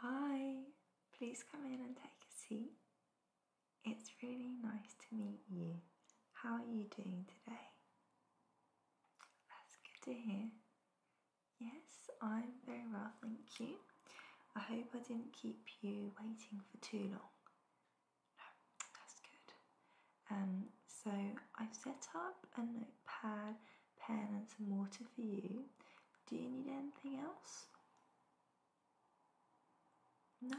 Hi, please come in and take a seat. It's really nice to meet you. How are you doing today? That's good to hear. Yes, I'm very well, thank you. I hope I didn't keep you waiting for too long. No, that's good. Um, so I've set up a notepad, pen, and some water for you do you need anything else? No?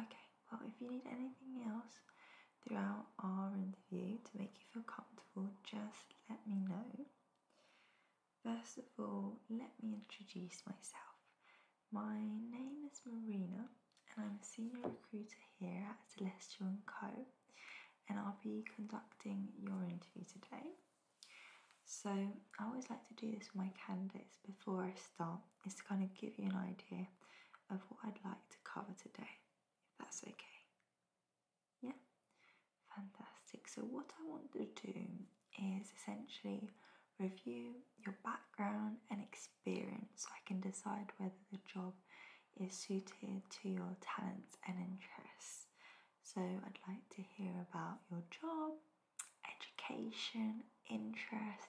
Okay, well, if you need anything else throughout our interview to make you feel comfortable, just let me know. First of all, let me introduce myself. My name is Marina, and I'm a senior recruiter here at Celestial & Co. And I'll be conducting your interview today. So I always like to do this with my candidates before I start, is to kind of give you an idea of what I'd like to cover today, if that's okay. Yeah, fantastic. So what I want to do is essentially review your background and experience so I can decide whether the job is suited to your talents and interests. So I'd like to hear about your job, education, interest,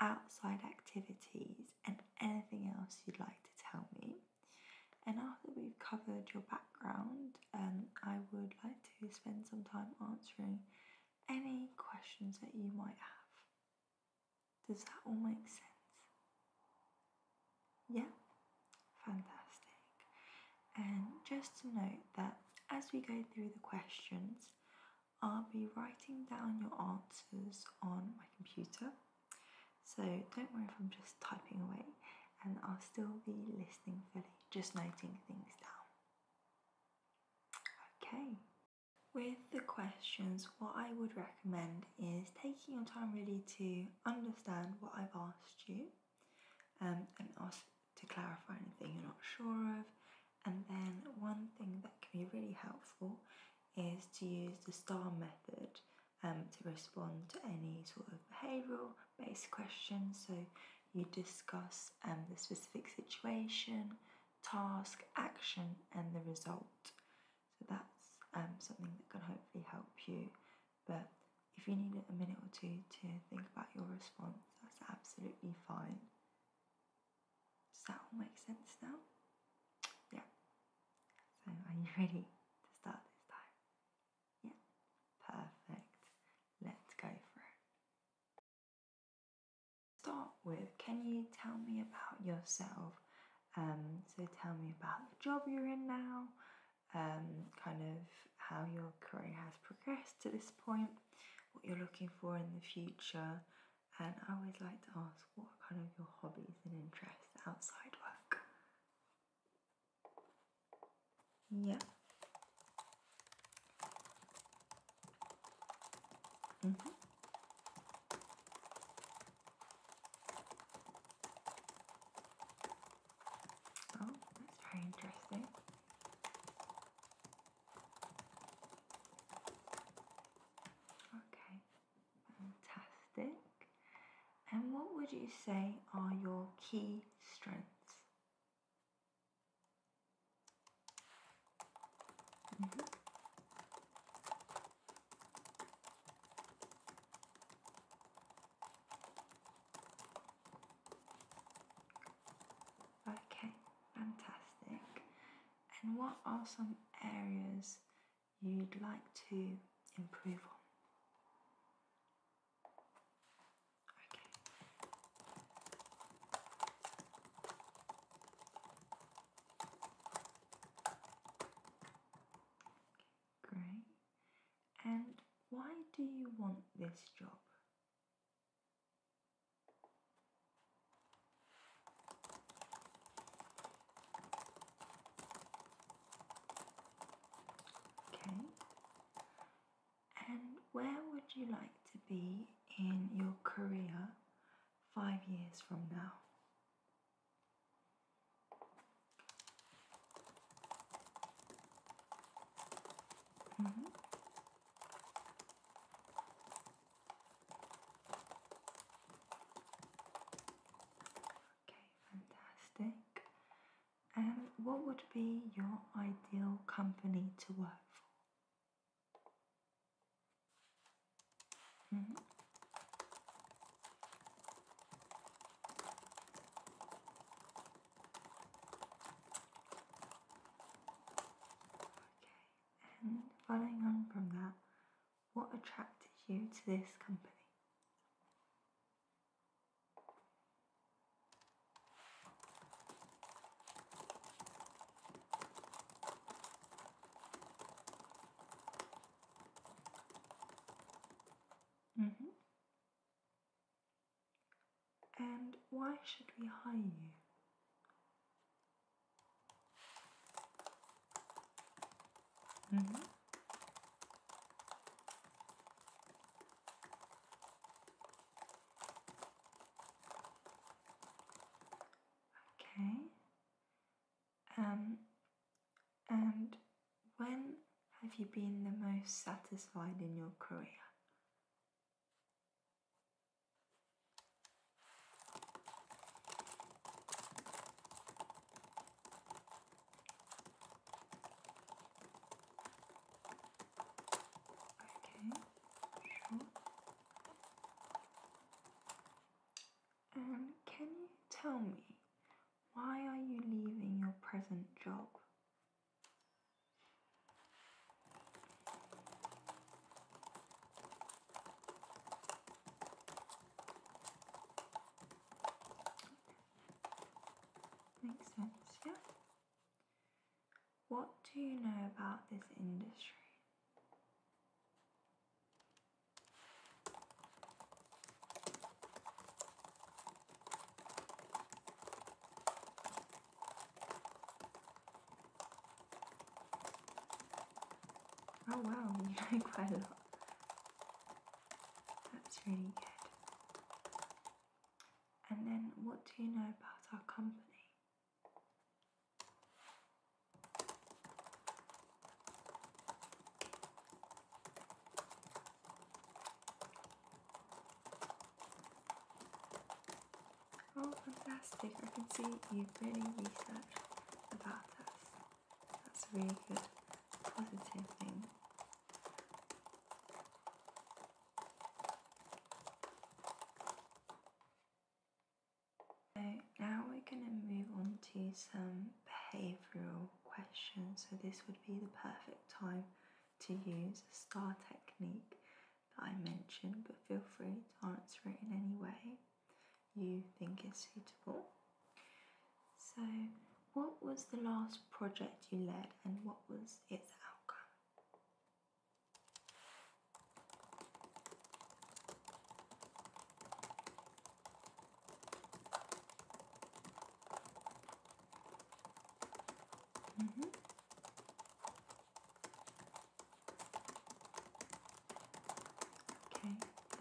outside activities, and anything else you'd like to tell me. And after we've covered your background, um, I would like to spend some time answering any questions that you might have. Does that all make sense? Yeah? Fantastic. And just to note that as we go through the questions, I'll be writing down your answers on my computer. So don't worry if I'm just typing away and I'll still be listening fully, just noting things down. Okay. With the questions, what I would recommend is taking your time really to understand what I've asked you um, and ask to clarify anything you're not sure of. And then, one thing that can be really helpful is to use the STAR method um, to respond to any sort of behavioural based questions. So, you discuss um, the specific situation, task, action, and the result. So, that's something that can hopefully help you but if you need a minute or two to think about your response, that's absolutely fine. Does that all make sense now? Yeah. So are you ready to start this time? Yeah. Perfect. Let's go for it. Start with can you tell me about yourself? Um, so tell me about the job you're in now, um, kind of how your career has progressed to this point, what you're looking for in the future, and I would like to ask what kind of your hobbies and interests outside work. Yeah. Mm-hmm. Oh, that's very interesting. Okay, fantastic. And what would you say are your key strengths? Mm-hmm. Okay, fantastic. And what are some areas you'd like to improve on? Okay. Great. And why do you want this job? Okay. And where would you like to be in your career five years from now? Mm-hmm. Okay, fantastic. And what would be your ideal company to work for? Mm-hmm. Okay, and following on from that, what attracted you to this company? Mm-hmm. And why should we hire you? Mm -hmm. Okay. Um, and when have you been the most satisfied in your career? sure. And can you tell me why are you leaving your present job? Makes sense, yeah? What do you know about this industry? Oh wow, you drank quite a That's really good. And then, what do you know about our company? Oh, fantastic! I can see you've really researched about us. That's a really good, positive thing. So now we're going to move on to some behavioural questions. So this would be the perfect time to use a STAR technique that I mentioned, but feel free to answer it in any way you think is suitable. So, what was the last project you led and what was its outcome? Mm-hmm. Okay,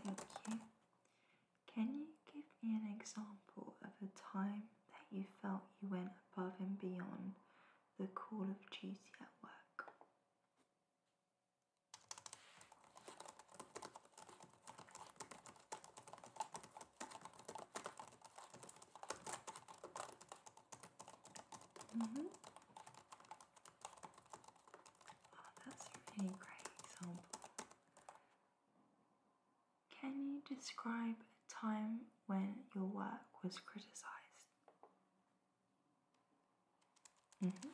thank you. Can you give me an example of a time that you felt you went above and beyond the call of duty at work? Mm-hmm. Oh, that's a really great example. Can you describe a time when your work was criticised? Mm-hmm.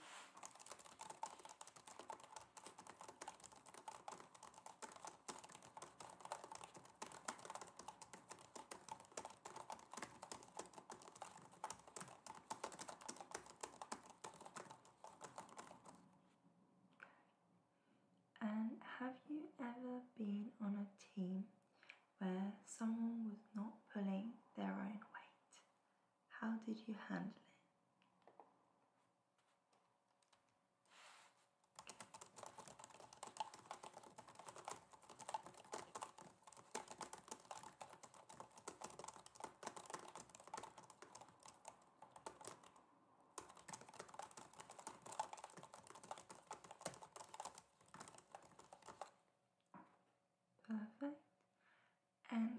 And have you ever been on a team where someone was not pulling their own weight? How did you handle it? Perfect. And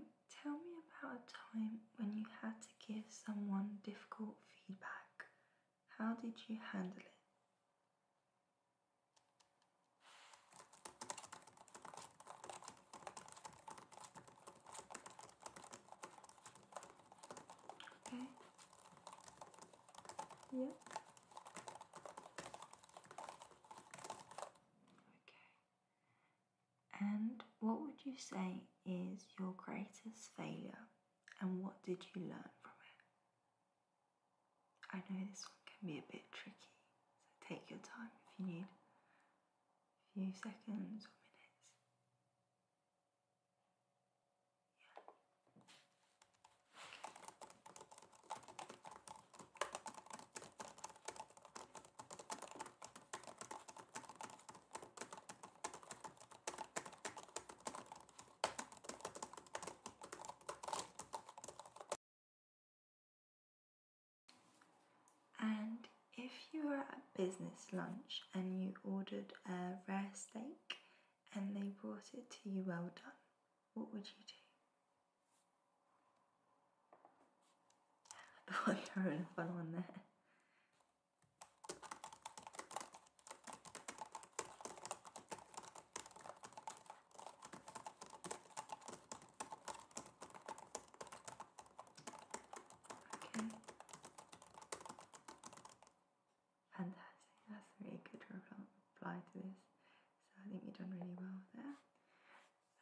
tell me about a time when you had to give someone difficult feedback how did you handle it? Okay. Yeah. Okay. And what would you say is your greatest failure and what did you learn from it? I know this one can be a bit tricky, so take your time if you need a few seconds or minutes. And if you were at business lunch and you ordered a rare steak and they brought it to you well done, what would you do? I thought there was a one there. Okay. Fantastic. That's a really good reply to this. So I think you've done really well there.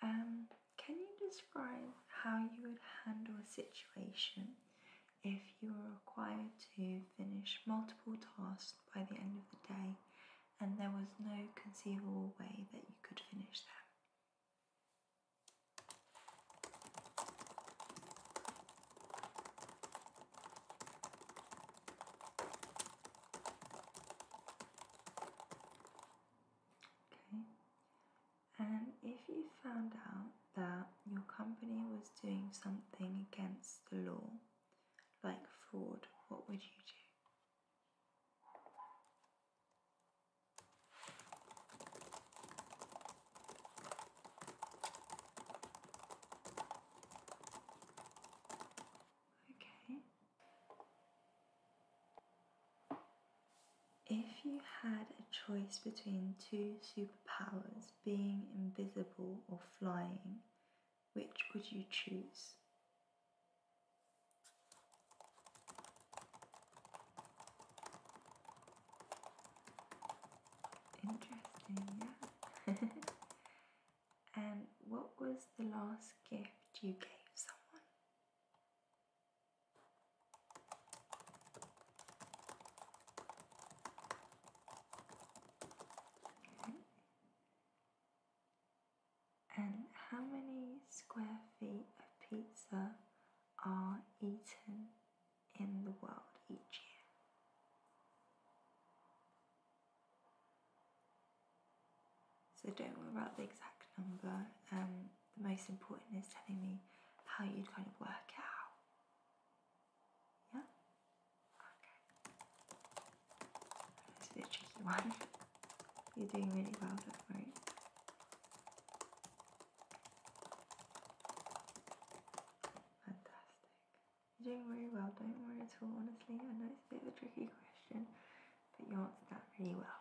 Um, can you describe how you would handle a situation if you were required to finish multiple tasks by the end of the day, and there was no conceivable way that you could finish them. Okay, and if you found out that your company was doing something against the law, like fraud, what would you do? Okay. If you had a choice between two superpowers, being invisible or flying, which would you choose? Interesting, yeah. and what was the last gift you gave someone? And how many square feet of pizza are eaten in the world each year? So don't worry about the exact number. Um, the most important is telling me how you'd kind of work out. Yeah? This is a tricky one. You're doing really well, don't worry. Fantastic. You're doing really well, don't worry at all, honestly. I know it's a bit of a tricky question, but you answered that really well.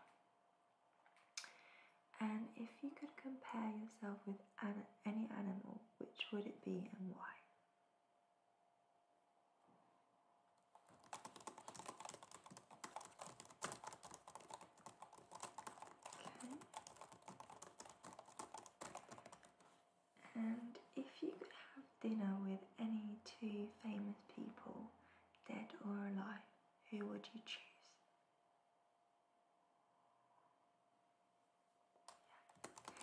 And if you could compare yourself with any animal, which would it be and why? And if you could have dinner with any two famous people, dead or alive, who would you choose?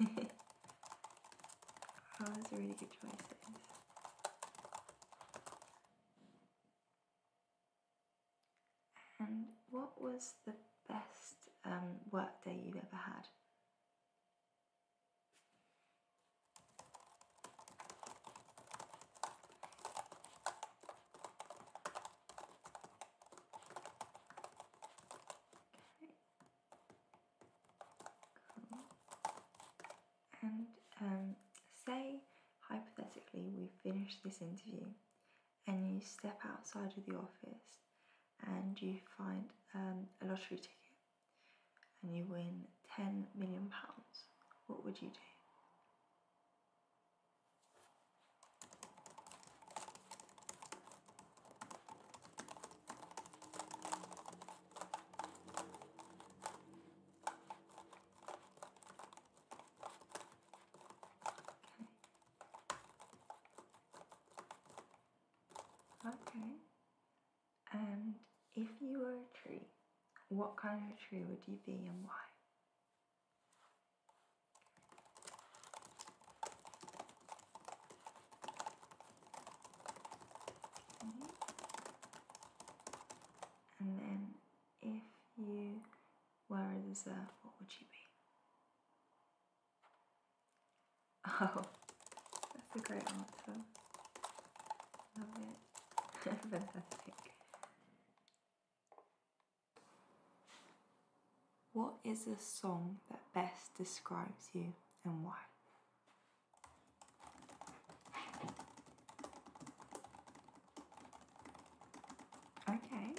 oh, those are really good choices. And what was the best um, work day you've ever had? Okay. And um, say, hypothetically, we finish this interview and you step outside of the office and you find um, a lottery ticket and you win 10 million pounds, what would you do? Okay. And if you were a tree, what kind of tree would you be and why? Okay. Mm-hmm. And then if you were a reserve, what would you be? Oh, that's a great answer. Love it. Fantastic. What is the song that best describes you and why? Okay.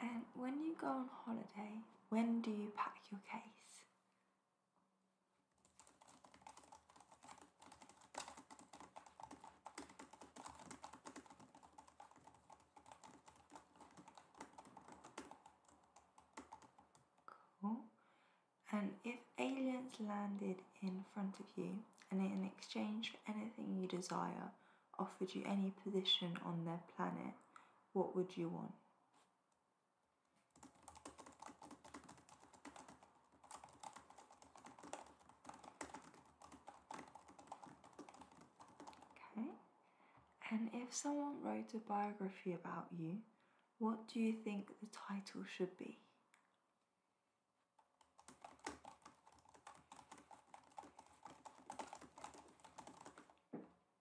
And when you go on holiday, when do you pack your case? Cool. And if aliens landed in front of you and in exchange for anything you desire offered you any position on their planet, what would you want? Okay. And if someone wrote a biography about you, what do you think the title should be?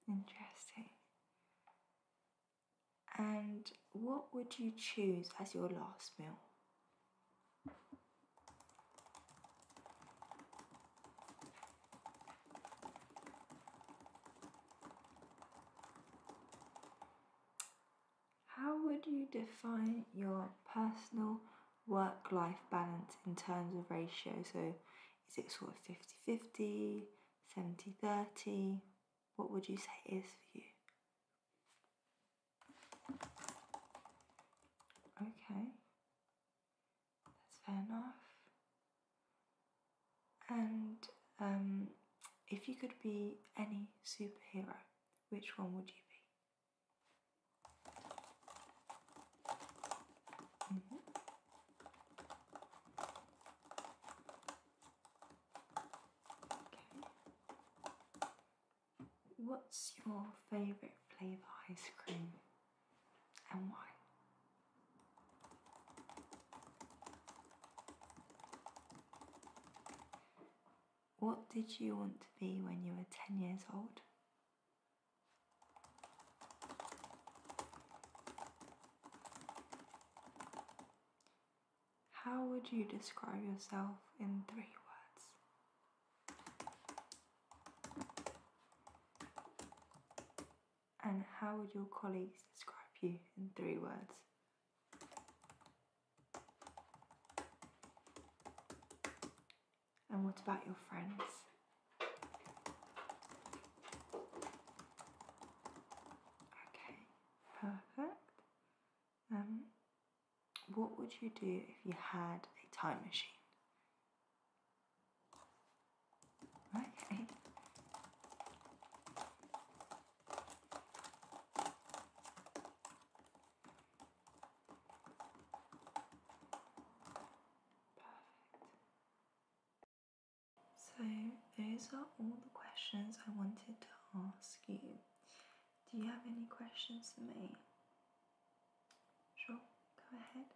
Interesting. And what would you choose as your last meal? How would you define your personal work life balance in terms of ratio? So, is it sort of 50 50, 70 30? What would you say is for you? Okay, that's fair enough. And um, if you could be any superhero, which one would you be? Mm-hmm. Okay. What's your favourite flavour ice cream and why? What did you want to be when you were 10 years old? How would you describe yourself in three words? And how would your colleagues describe you in three words? And what about your friends? Okay, perfect. Um, what would you do if you had a time machine? Okay. Perfect. So, those are all the questions I wanted to ask you. Do you have any questions for me? Sure, go ahead.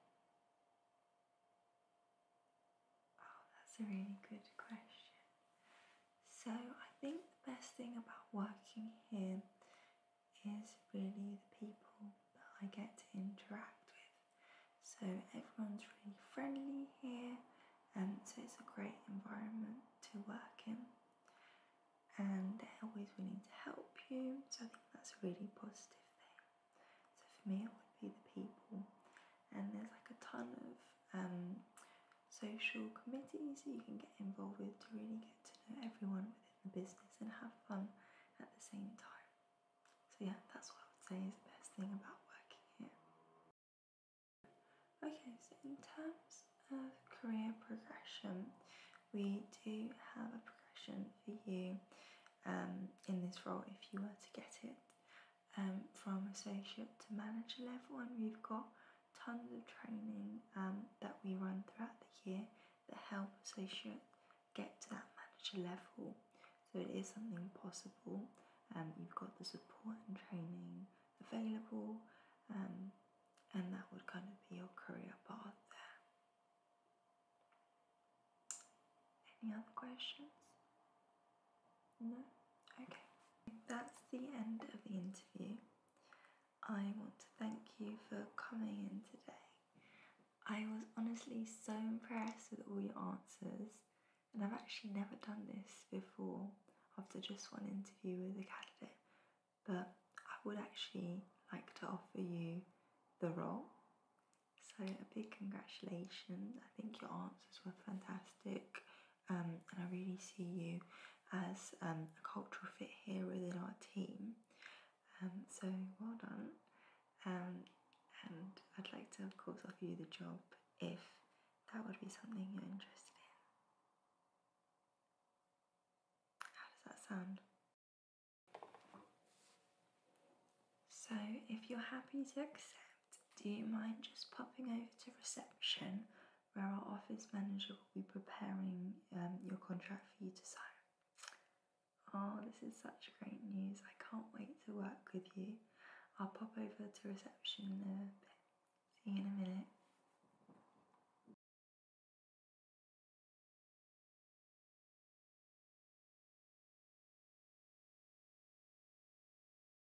Oh, that's a really good question. So, I think the best thing about working here is really the people that I get to interact with. So, everyone's really friendly here, and so it's a great environment to work in. And they're always willing to help you, so I think that's a really positive thing. So, for me, it would be the people and there's like a ton of um, social committees that you can get involved with to really get to know everyone within the business and have fun at the same time. So yeah, that's what I would say is the best thing about working here. Okay, so in terms of career progression, we do have a progression for you um, in this role if you were to get it um, from associate to manager level, and we've got tons of training um, that we run throughout the year that help associate get to that manager level. So it is something possible. Um, you've got the support and training available, um, and that would kind of be your career path there. Any other questions? No? Okay. That's the end of the interview. I want to thank you for coming in today. I was honestly so impressed with all your answers, and I've actually never done this before after just one interview with a candidate, but I would actually like to offer you the role. So, a big congratulations. I think your answers were fantastic. Um, and I really see you as um, a cultural fit here within our team. Um, so well done, and I'd like to, of course, offer you the job if that would be something you're interested in. How does that sound? So, if you're happy to accept, do you mind just popping over to reception where our office manager will be preparing um, your contract for you to sign? Oh, this is such great news. I can't wait to work with you. I'll pop over to reception there. See you in a minute.